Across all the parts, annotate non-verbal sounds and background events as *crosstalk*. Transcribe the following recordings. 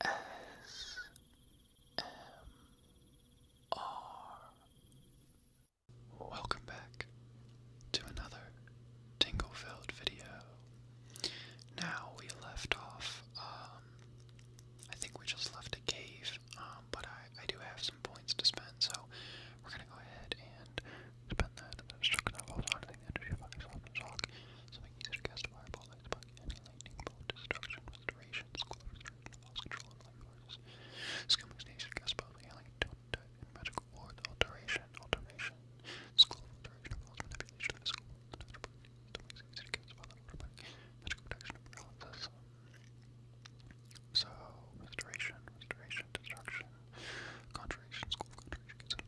A S M R. Welcome back to another tingle video. Now we left off. Um, I think we just left a cave, um, but I do have some points to spend, so we're gonna go ahead and Spend that, and then struck an energy of soft and shock, so fireball, lightbug, lightning bolt, destruction, restoration, school restoration, lost control, and forces. Skill makes it easier to cast magical ward, alteration, alteration, school of alteration, manipulation, school, and after paralysis. So, restoration, restoration, destruction, contradiction, school of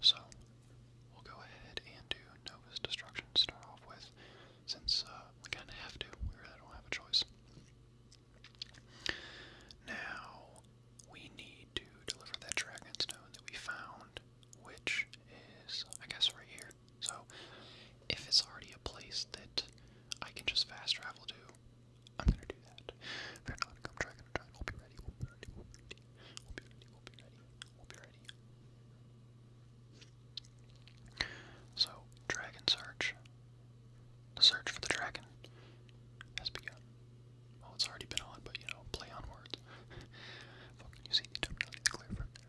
So, we'll go ahead and do Nova's Destruction start off with, since we kind of have to. We really don't have a choice. Now, we need to deliver that stone that we found, which is, I guess, right here. So if it's already a place that I can just fast travel to, I'm gonna do that. If not come try, going So dragon search. The search for the dragon has begun. Well, it's already been on, but you know, play on words. *laughs* you see the terminology clear from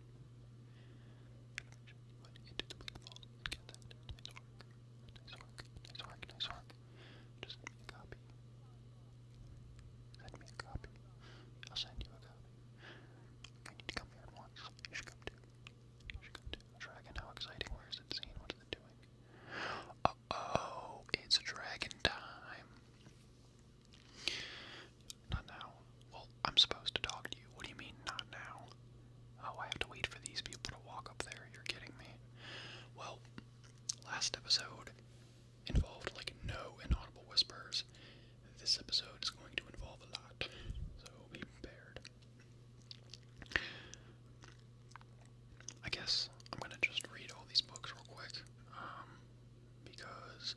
Put send me a copy. I'll send you a copy. I need come here once. You should come too. You should come too. Dragon, how exciting. Where is it seen? What is it doing? oh, it's dragon time. Not now. Well, I'm supposed to talk to you. What do you mean, not now? Oh, I have to wait for these people to walk up there. You're kidding me. Well, last episode involved like no inaudible whispers. This episode is going to involve a lot, so be prepared. I guess I'm gonna just read all these books real quick, um, because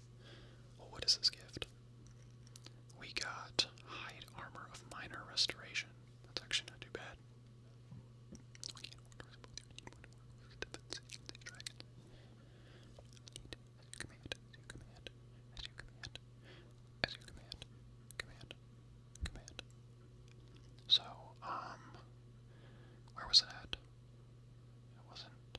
Well, what is this gift? We got hide armor of minor restoration. That's actually not too bad. So, um, where was it It wasn't.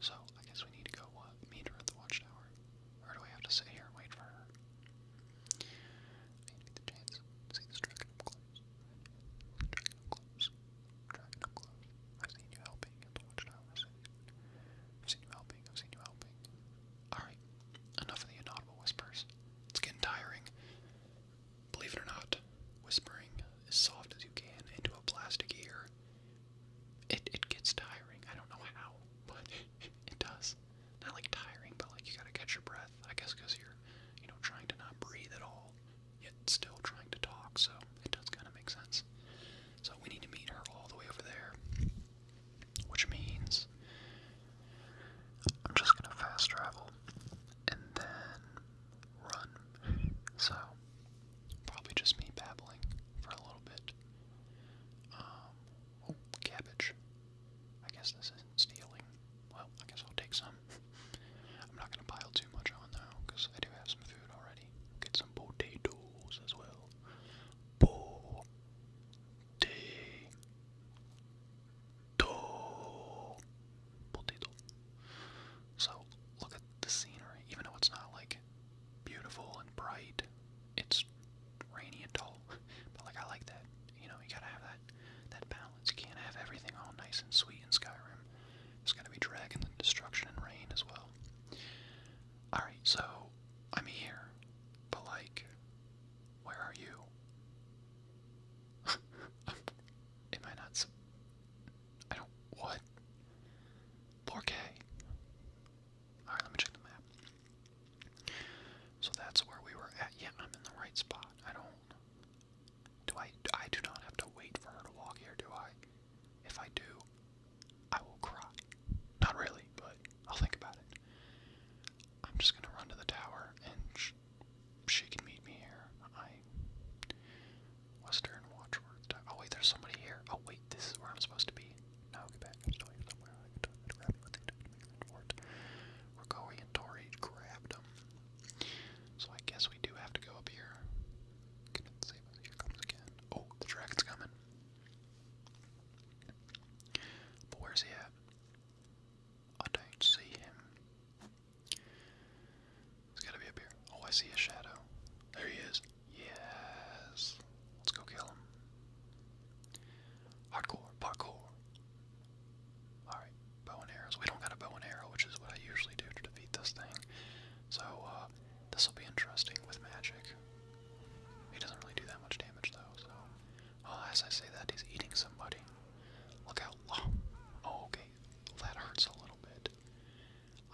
So, I guess we need to go, uh, meet her at the watchtower? Or do we have to sit here and wait for her? I need the chance I've seen you helping at the watchtower. I've seen you helping. I've seen you helping. Alright, enough of the inaudible whispers. It's getting tiring. Believe it or not, whispering as soft as you can into a plastic ear, it, it gets tiring. I don't know how, *laughs* but it does. Not like tiring, but like you gotta catch your breath, I guess, because you're, you know, trying to not breathe at all, yet still trying to talk, so it does kind of make sense. So we need to meet her all the way over there, which means I'm just gonna fast travel and then run. So, probably just me babbling for a little bit. Um, oh, cabbage. I guess this isn't stealing. Well, I guess I'll take some. *laughs* I'm not going to pile too much on though, because I do have some food already. Get some potatoes as well. Potato. Potato. So look at the scenery, even though it's not like beautiful and bright, it's rainy and dull. *laughs* But like I like that. You know, you gotta have that that balance. You can't have everything all nice and sweet in Skyrim. There's gotta be dragon and destruction and rain as well. Alright, so I'm here. But like where are you? *laughs* Am I not? I don't. What? 4K. Alright, let me check the map. So that's where we were at. Yeah, I'm in the right spot. I don't. Do I. I do not have to wait for her to walk here, do I? If I do, I will cry. Not really, but I'll think about it. I'm just gonna run to the tower and she can meet me here. I Western Watchword. Oh wait, there's somebody here. Oh wait, this is where I'm supposed to be. No, get back. I'm still here somewhere. I can totally grab me what they grabbed him. So I guess we do have to go up here. Oh, the dragon's coming. But where's he at? I don't see him. He's gotta be up here. Oh, I see a shadow. There he is. Yes. Let's go kill him. Hardcore, parkour. Alright, bow and arrows. We don't got a bow and arrow, which is what I usually do to defeat this thing. So, uh, this will be interesting with magic. He doesn't really do that much damage, though, so. as I say that, he's eating somebody. Look out. Oh, okay. That hurts a little.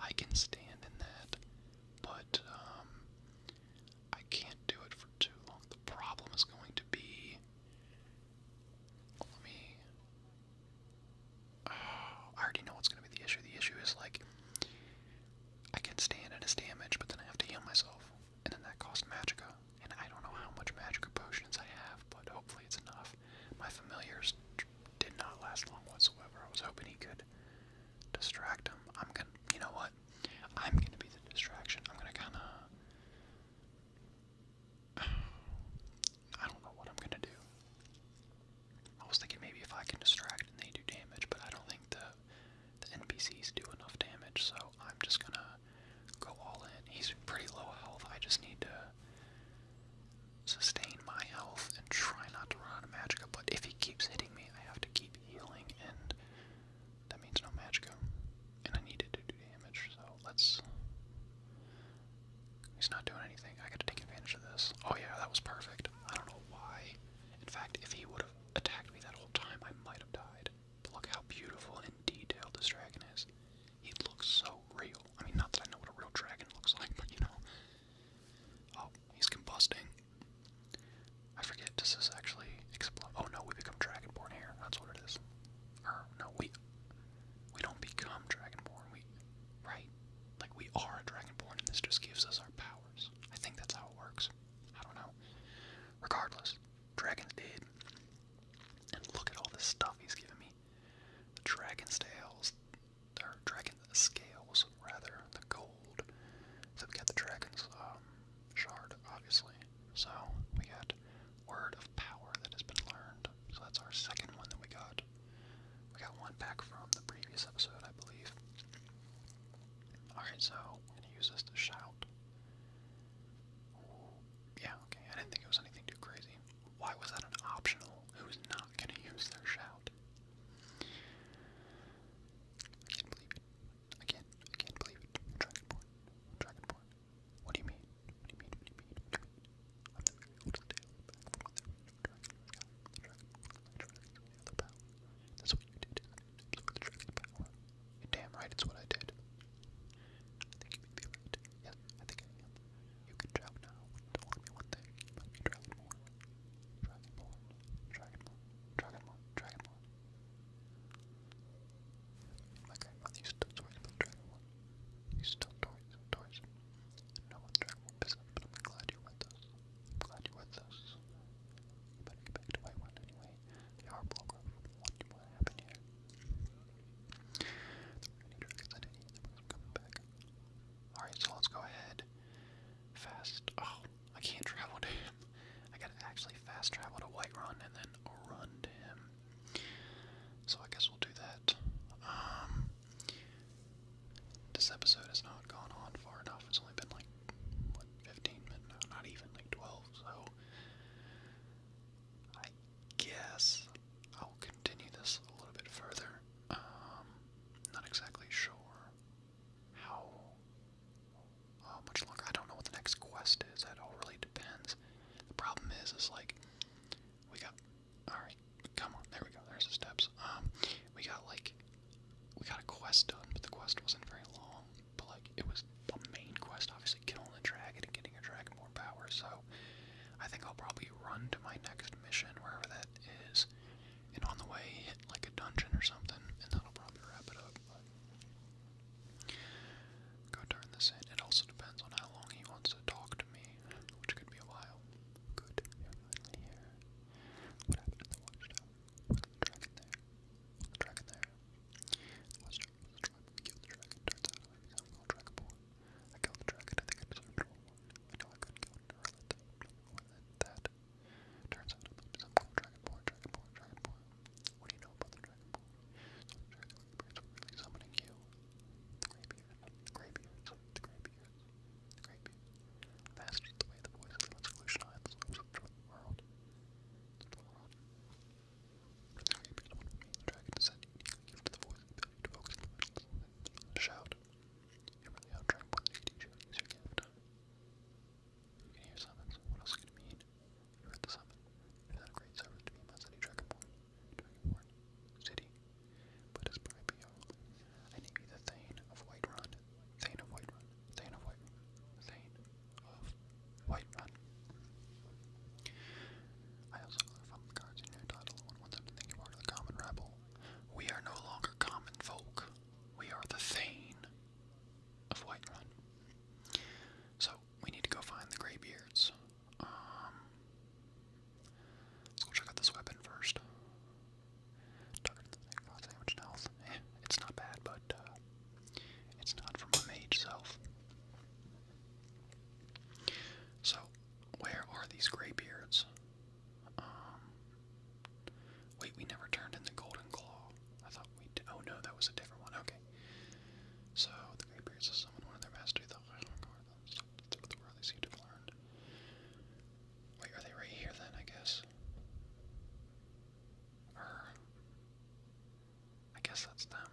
I can stand in that, but um, I can't do it for too long. The problem is going to be. Let me. *sighs* I already know what's going to be the issue. The issue is like. I can stand in his damage, but then I have to heal myself. And then that costs magica, And I don't know how much magica potions I have, but hopefully it's enough. My familiar's did not last long whatsoever. I was hoping he could distract him. I'm gonna, you know what? I'm gonna be the distraction. I'm gonna kind of. *sighs* I don't know what I'm gonna do. I was thinking maybe if I can distract and they do damage, but I don't think the the NPCs do enough damage, so I'm just gonna go all in. He's pretty low health. I just need to sustain my health and try not to run out of magicka, but if he keeps hitting me, I have to keep healing, and that means no magicka. And I needed to do damage, so let's... He's not doing anything. I gotta take advantage of this. Oh yeah, that was perfect. I don't know why. In fact, if he would've attacked me that whole time, I might have died. But look how beautiful and detailed this dragon is. He looks so real. I mean, not that I know what a real dragon looks like, but you know. Oh, he's combusting. I forget, does this actually explode? Oh no, we become dragonborn here. That's what it is. Or, no, we we don't become dragonborn. We, right? Like, we are a dragonborn, and this just gives us our powers. I think that's how it works. I don't know. Regardless, dragon's dead. And look at all this stuff he's giving me. The dragon scales, or dragon scales rather, the gold. So we got the dragon's um, shard, obviously. So we got word of power that has been learned. So that's our second one that we got. We got one back from the previous episode, I believe. Alright, so we're gonna use this to shout. yeah, okay, I didn't think it was anything too crazy. Why was that an optional? Who's not going to use their shout? I can't believe it. I can't, I can't believe it. Dragonborn. Dragonborn. What do you mean? What do you mean? What do you mean? That's what you did. That's what the dragon damn right it's what I did. Yes, I think I am. You can travel now. Don't want me one thing. Let me Dragonborn. Dragonborn. Dragonborn. Dragonborn. Dragonborn. My grandmother used to tell stories about Dragonborn. He used to tell stories and stories. No one Dragonborn business, but I'm glad you're with us. glad you're with us. You better get back to anyway. They are blogger. What do here? There were any dragons I didn't eat. They coming back. Alright, so let's go ahead. Fast. Oh, I can't travel to him. I gotta actually fast travel to Whiterun and then run to him. So I guess we'll do that. Um, this episode has not gone on far enough. It's only been like, what, 15 minutes? not even, like 12, so guess I'll continue this a little bit further. Um, not exactly sure how much longer. I don't know what the next quest is. That all really depends. The problem is, is like we got. All right, come on. There we go. There's the steps. Um, we got like we got a quest done, but the quest wasn't very long. But like it was the main quest, obviously killing the dragon and getting a dragon so I think I'll probably run to my next mission, wherever that is, and on the way hit like a dungeon or something, and that'll probably wrap it up. go turn this in. It also depends on how long he wants to talk to me, which could be a while. Good. You're finally here. What happened in the watchtower? the dragon there? the dragon there? The watchtower the dragon. Turns out I become all dragonborn. I killed the dragon, I think I deserved roll I know I couldn't more than that. Turns out I'm some cool dragonborn, dragonborn, What do you know about the dragonborn? So the dragonborns were really summoning you. The graybeards, the graybeards, the graybeards, the the voice of the revolutionized the slopes of the world. The The graybeards want the dragon descent uniquely given to the voice of the ability shout. You're really out trying you What else could it mean? You heard the summon. It is not a great service to be my city dragonborn. Dragonborn. City. But it's probably your I need you the Thane of Whiterun. Thane of Whiterun. Thane of Whiterun. Thane of Whiterun. I also love from the cards in your title want them to think you are the common rabble. We are no longer common folk. We are the Thane of Whiterun. So we need to go find the Graybeards. Um, let's go check out this weapon first. *laughs* it's not bad, but uh, it's not from my mage self. So, where are these Greybeards? Um, wait, we never turned in the Golden Claw. I thought we Oh no, that was a different one. Okay. So, the Greybeards has summoned one of their mastery Wait, are they right here then, I guess? Or. I guess that's them.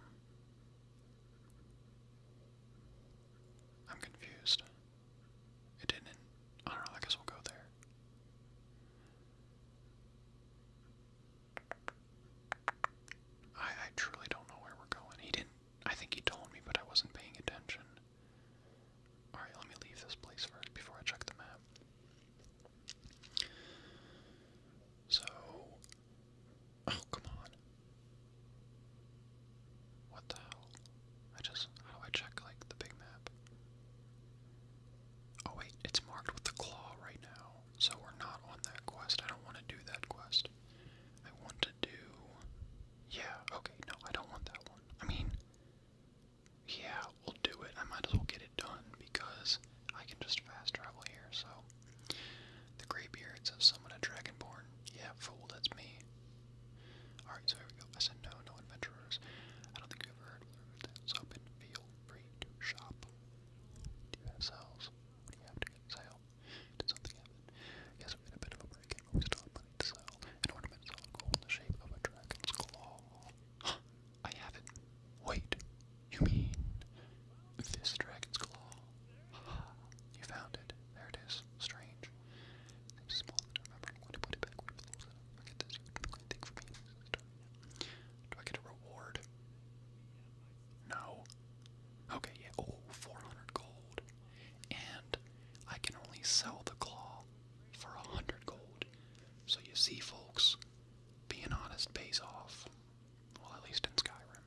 I'm confused. It didn't. I don't know, I guess we'll go there. I I truly don't know where we're going. He didn't I think he told me, but I wasn't paying attention. Alright, let me leave this place first before I check the map. So oh come on. What the hell? I just, how do I check, like, the big map? Oh wait, it's marked with the claw right now, so we're not on that quest. I don't want to do that quest. I want to do... Yeah, okay, no, I don't want that one. I mean, yeah, we'll do it. I might as well get it done, because I can just fast travel here, so... The graybeards of Summon a Dragonborn. Yeah, fool, that's me. Alright, so here we go. I said no, no adventurers. I don't think you ever heard of that. So feel free to shop. Do you have sales? do you have to get sale? Did something happen? Yes, we had a bit of a break but we still have money to sell. An ornament is all gold in the shape of a dragon's claw. *gasps* I have it. Wait, you mean this dragon's claw? *sighs* You found it. There it is. Strange. It's small to remember. When I put it back where it belongs, I get this. Anything for me. Do I get a reward? No. Okay, yeah. 400 gold. And I can only sell the claw for 100 gold. So you see, folks, being honest pays off. Well, at least in Skyrim.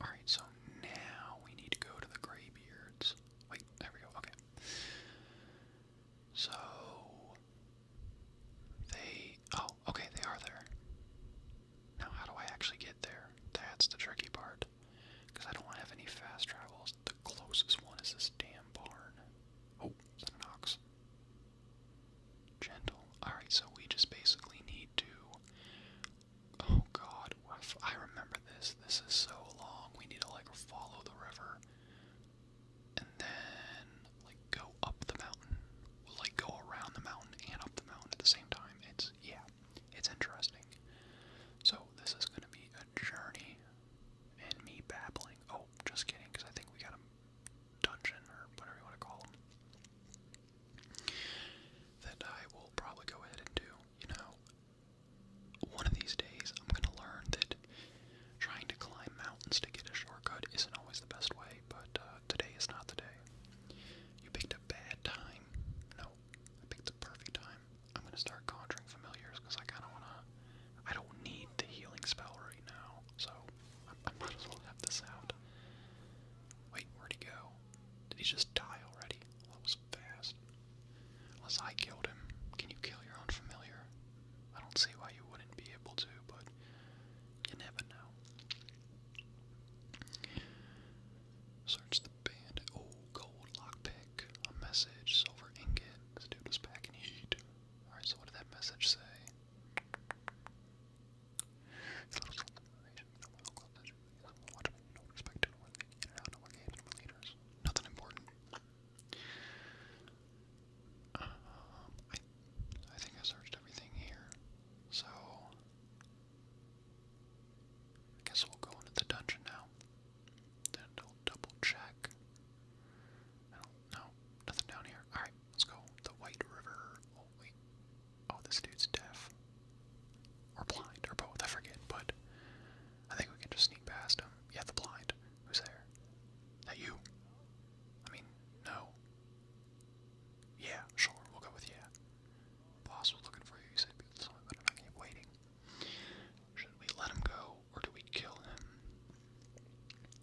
Alright, so now we need to go to the Graybeards. Wait, there we go, okay. So. They. Oh, okay, they are there. Now, how do I actually get there? That's the tricky part. Because I don't have any fast travels. The closest one is this damn barn. Oh, it's that an ox? Gentle. Alright, so we just basically need to Oh god, I remember this. This is so long. We need to like follow the river and then like go up the mountain. We'll like go around the mountain and up the mountain at the same time. It's yeah, it's interesting. So this is gonna be a journey and me babbling. Oh, just kidding, because I think we got a dungeon or whatever you want to call them that I will probably go ahead and do. You know, one of these days I'm going to learn that trying to climb mountains to get a shortcut isn't always the best way, but uh, today is not the day. You picked a bad time. No, I picked the perfect time. I'm going to start conjuring familiars because I kind of want to. I don't need the healing spell right now, so I, might as well have this out. Wait, where'd he go? Did he just die already? Unless I killed him. Can you kill your own familiar? I don't see why you wouldn't be able to, but you never know. Search the band. Oh, gold lockpick. A message. Silver ingot. This dude was packing heat. Alright, so what did that message say? Nothing important. Um, I, think I searched everything here. So, I guess we'll go into the dungeon now. Then I'll double check. I Nothing down here. Alright, let's go. The White River. Oh, wait. Oh, this dude's deaf. Or blind, or both, I forget, but I think we can just sneak past him. Yeah, the blind. Who's there? That you? I mean, no. Yeah, sure, we'll go with yeah. Boss was looking for you, he said but I'm not gonna be waiting. Should we let him go or do we kill him?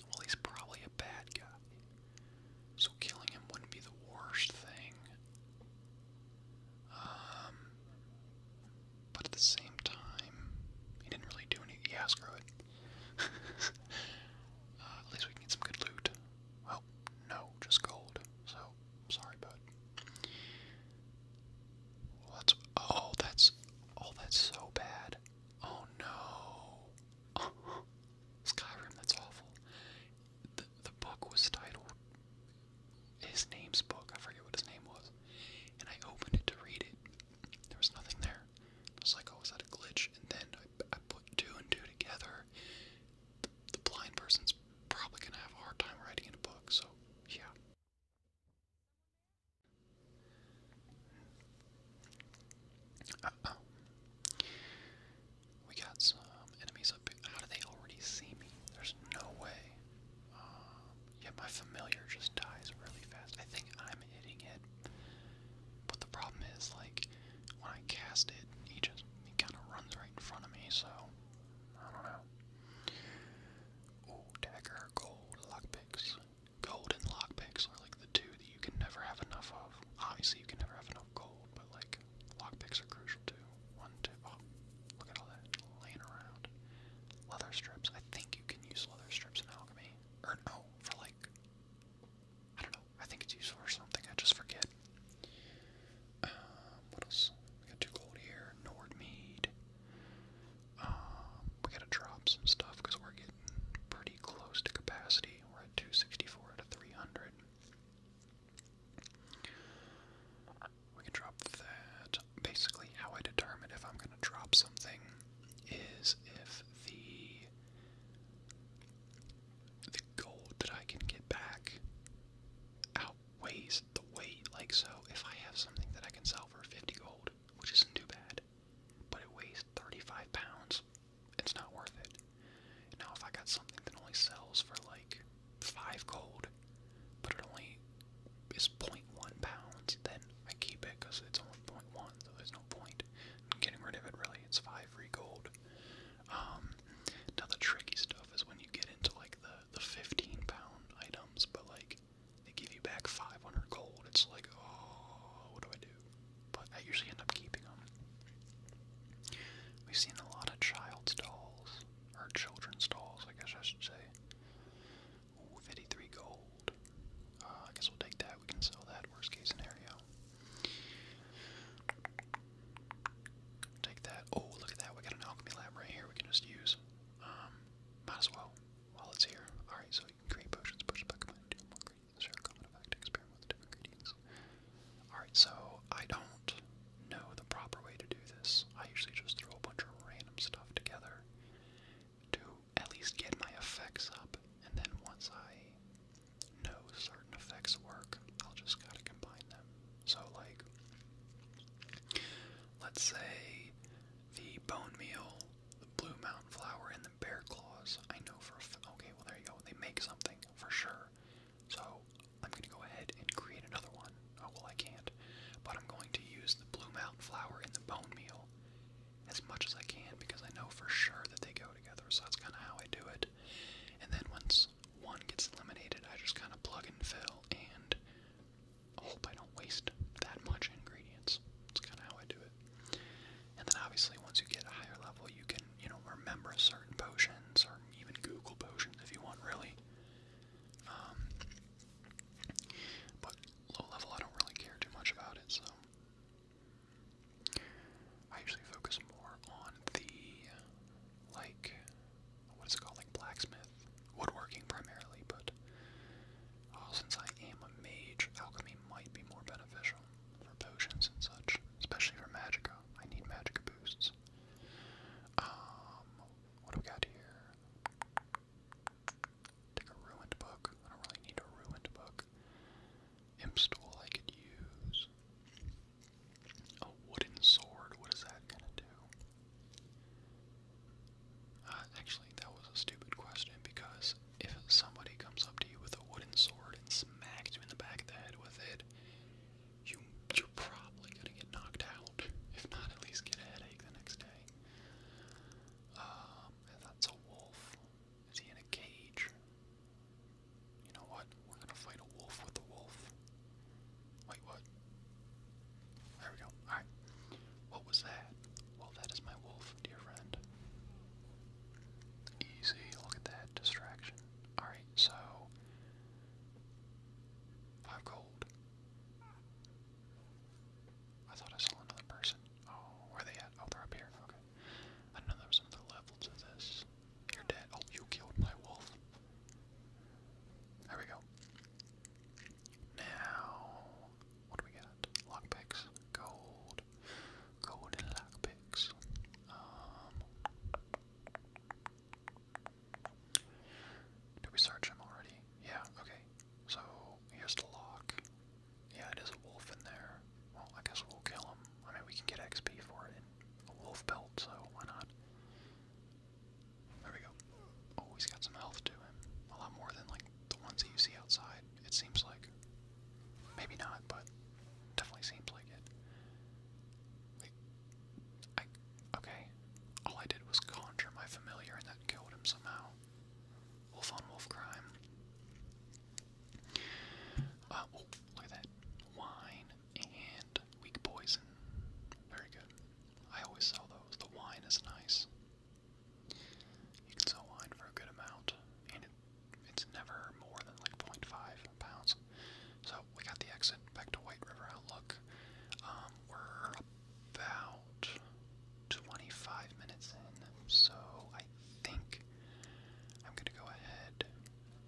Well he's probably a bad guy. So killing him wouldn't be the worst thing. Um, but at the same time, he didn't really do any. Yeah, screw it. *laughs* Uh, at least we get some good loot. Well, no, just gold. So sorry, bud. What's? Oh, that's. Oh, that's so bad. Oh no. *laughs* Skyrim, that's awful. The, the book was titled his name's book. I forget what his name was. And I opened it to read it. There was nothing there. I was like, oh, is that a glitch? And then I, I put two and two together. The, blind person's probably going to have a hard time writing in a book, so yeah. We got some enemies up how do they already see me? There's no way. Uh, yeah, my familiar just dies really fast. I think I'm hitting it. But the problem is, like, when I cast it, he just he kind of runs right in front of me, so I don't know. Ooh, dagger, gold, lockpicks. Gold lockpicks are like the two that you can never have enough of. Obviously, you can never have enough gold, but like lock. Lockpicks are crucial too. One, two, oh, look at all that laying around. Leather strips. I think you can use leather strips in alchemy. Or no, for like, I don't know. I think it's useful for something. I just forget. Um, what else? We got two gold here. Nord um, we gotta drop some stuff because we're getting pretty close to capacity. We're at 264 out of 300. We drop that. Basically, how I determine if I'm going to drop something is if the gold that I can get back outweighs the weight. Like so, if I have something that I can sell for 50 gold, which isn't too bad, but it weighs 35 pounds, it's not worth it. Now, if I got something that only sells for like five gold, but it only is 0.1 pounds, then I keep it because it's only 0.1, so there's no point getting rid of it really. It's five free gold. Um, now the tricky stuff is when you get into like the the 15 pound items, but like they give you back 500 gold. It's like, oh, what do I do? But I usually end up keeping them. We've seen a lot of child's dolls. Our children's stalls, I guess I should say. 53 gold. Uh, I guess we'll take that. We can sell that. Worst case scenario. Take that. Oh, look at that. We got an alchemy lab right here. We can just use. Um, might as well while it's here. All right, so you can create potions, push back command, do more ingredients, share a common effect, experiment with different ingredients. All right, so I don't know the proper way to do this. I usually just throw a bunch of random stuff together to at least get my effects up, and then once I know certain effects work, I'll just gotta combine them. So, like, let's say the bone meal, the blue mountain flower, and the bear claws. I know for a f okay, well, there you go. They make something for sure. So I'm going to go ahead and create another one. Oh, well, I can't. But I'm going to use the Blue Mountain Flower and the Bone Meal as much as I can because I know for sure that they go together. So that's kind of how I do it. And then once one gets eliminated, I just kind of plug and fill and hope I don't waste that much ingredients. That's kind of how I do it. And then obviously, once you get a higher level, you can, you know, remember certain potions or even Google potions if you want, really. Um, but low level, I don't really care too much about it, so. I usually focus more on the, like, what is it called, like blacksmith, woodworking primarily, but oh, since I am a mage, alchemy might be more beneficial for potions and such, especially for magica, I need magica boosts. Um, what do we got here? Take a ruined book. I don't really need a ruined book. Imp I could use. A wooden sword. What is that gonna do? Uh, actually, that was a stupid question because if somebody comes up to you with a wooden sword and smacks you in the back of the head with it, you are probably gonna get knocked out. If not, at least get a headache the next day. Um, that's a wolf. Is he in a cage? You know what? We're gonna fight a wolf with a wolf. Wait, what? There we go. Alright. What was that? Well, that is my wolf, dear friend. Easy. Look at that distraction. Alright, so. Five gold. I thought I saw another person. Oh, where are they at? Oh, they're up here. Okay. I know there was another level to this. You're dead. Oh, you killed my wolf. There we go. Now, what do we got? Lockpicks. Gold. Gold and lockpicks. Um. Did we search him already? Yeah, okay. So here's the lock. Yeah, it is a wolf in there. Well, I guess we'll kill him. I mean, we can get XP for it a wolf belt, so why not? There we go. Oh, got some health to him. A lot more than, like, the ones that you see outside, it seems like. Maybe not, but definitely seems like it. I, okay. All I did was conjure my familiar and that killed him somehow. Wolf on wolf crime. Uh, oh, look at that. Wine and weak poison. Very good. I always sell those. The wine is nice. You can sell wine for a good amount, and it, it's never more than like 0.5 So we got the exit back to White River Outlook. Um, we're about 25 minutes in, so I think I'm going to go ahead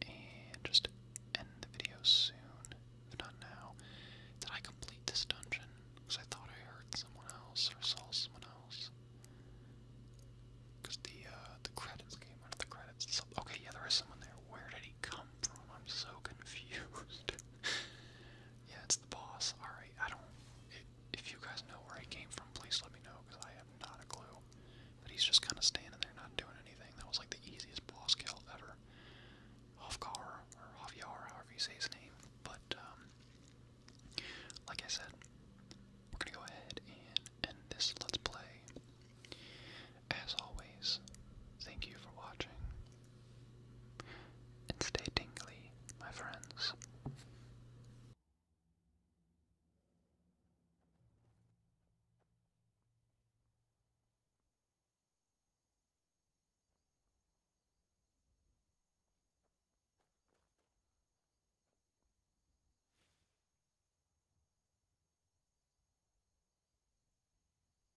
and just end the video soon, if not now. Did I complete this dungeon? Because I thought I heard someone else or saw someone else. Because the uh, the credits came under the credits. Okay, yeah, there is someone there. Where did he come from? I'm so *laughs* confused yeah, it's the boss. Alright, I don't. if you guys know where he came from, please let me know, because I have not a clue. But he's just kind of standing there, not doing anything. That was like the easiest boss kill ever. Hofgar, or Javier, however you say his name. But, um, like I said, we're gonna go ahead and end this Let's Play. As always, thank you for watching. And stay tingly, my friends.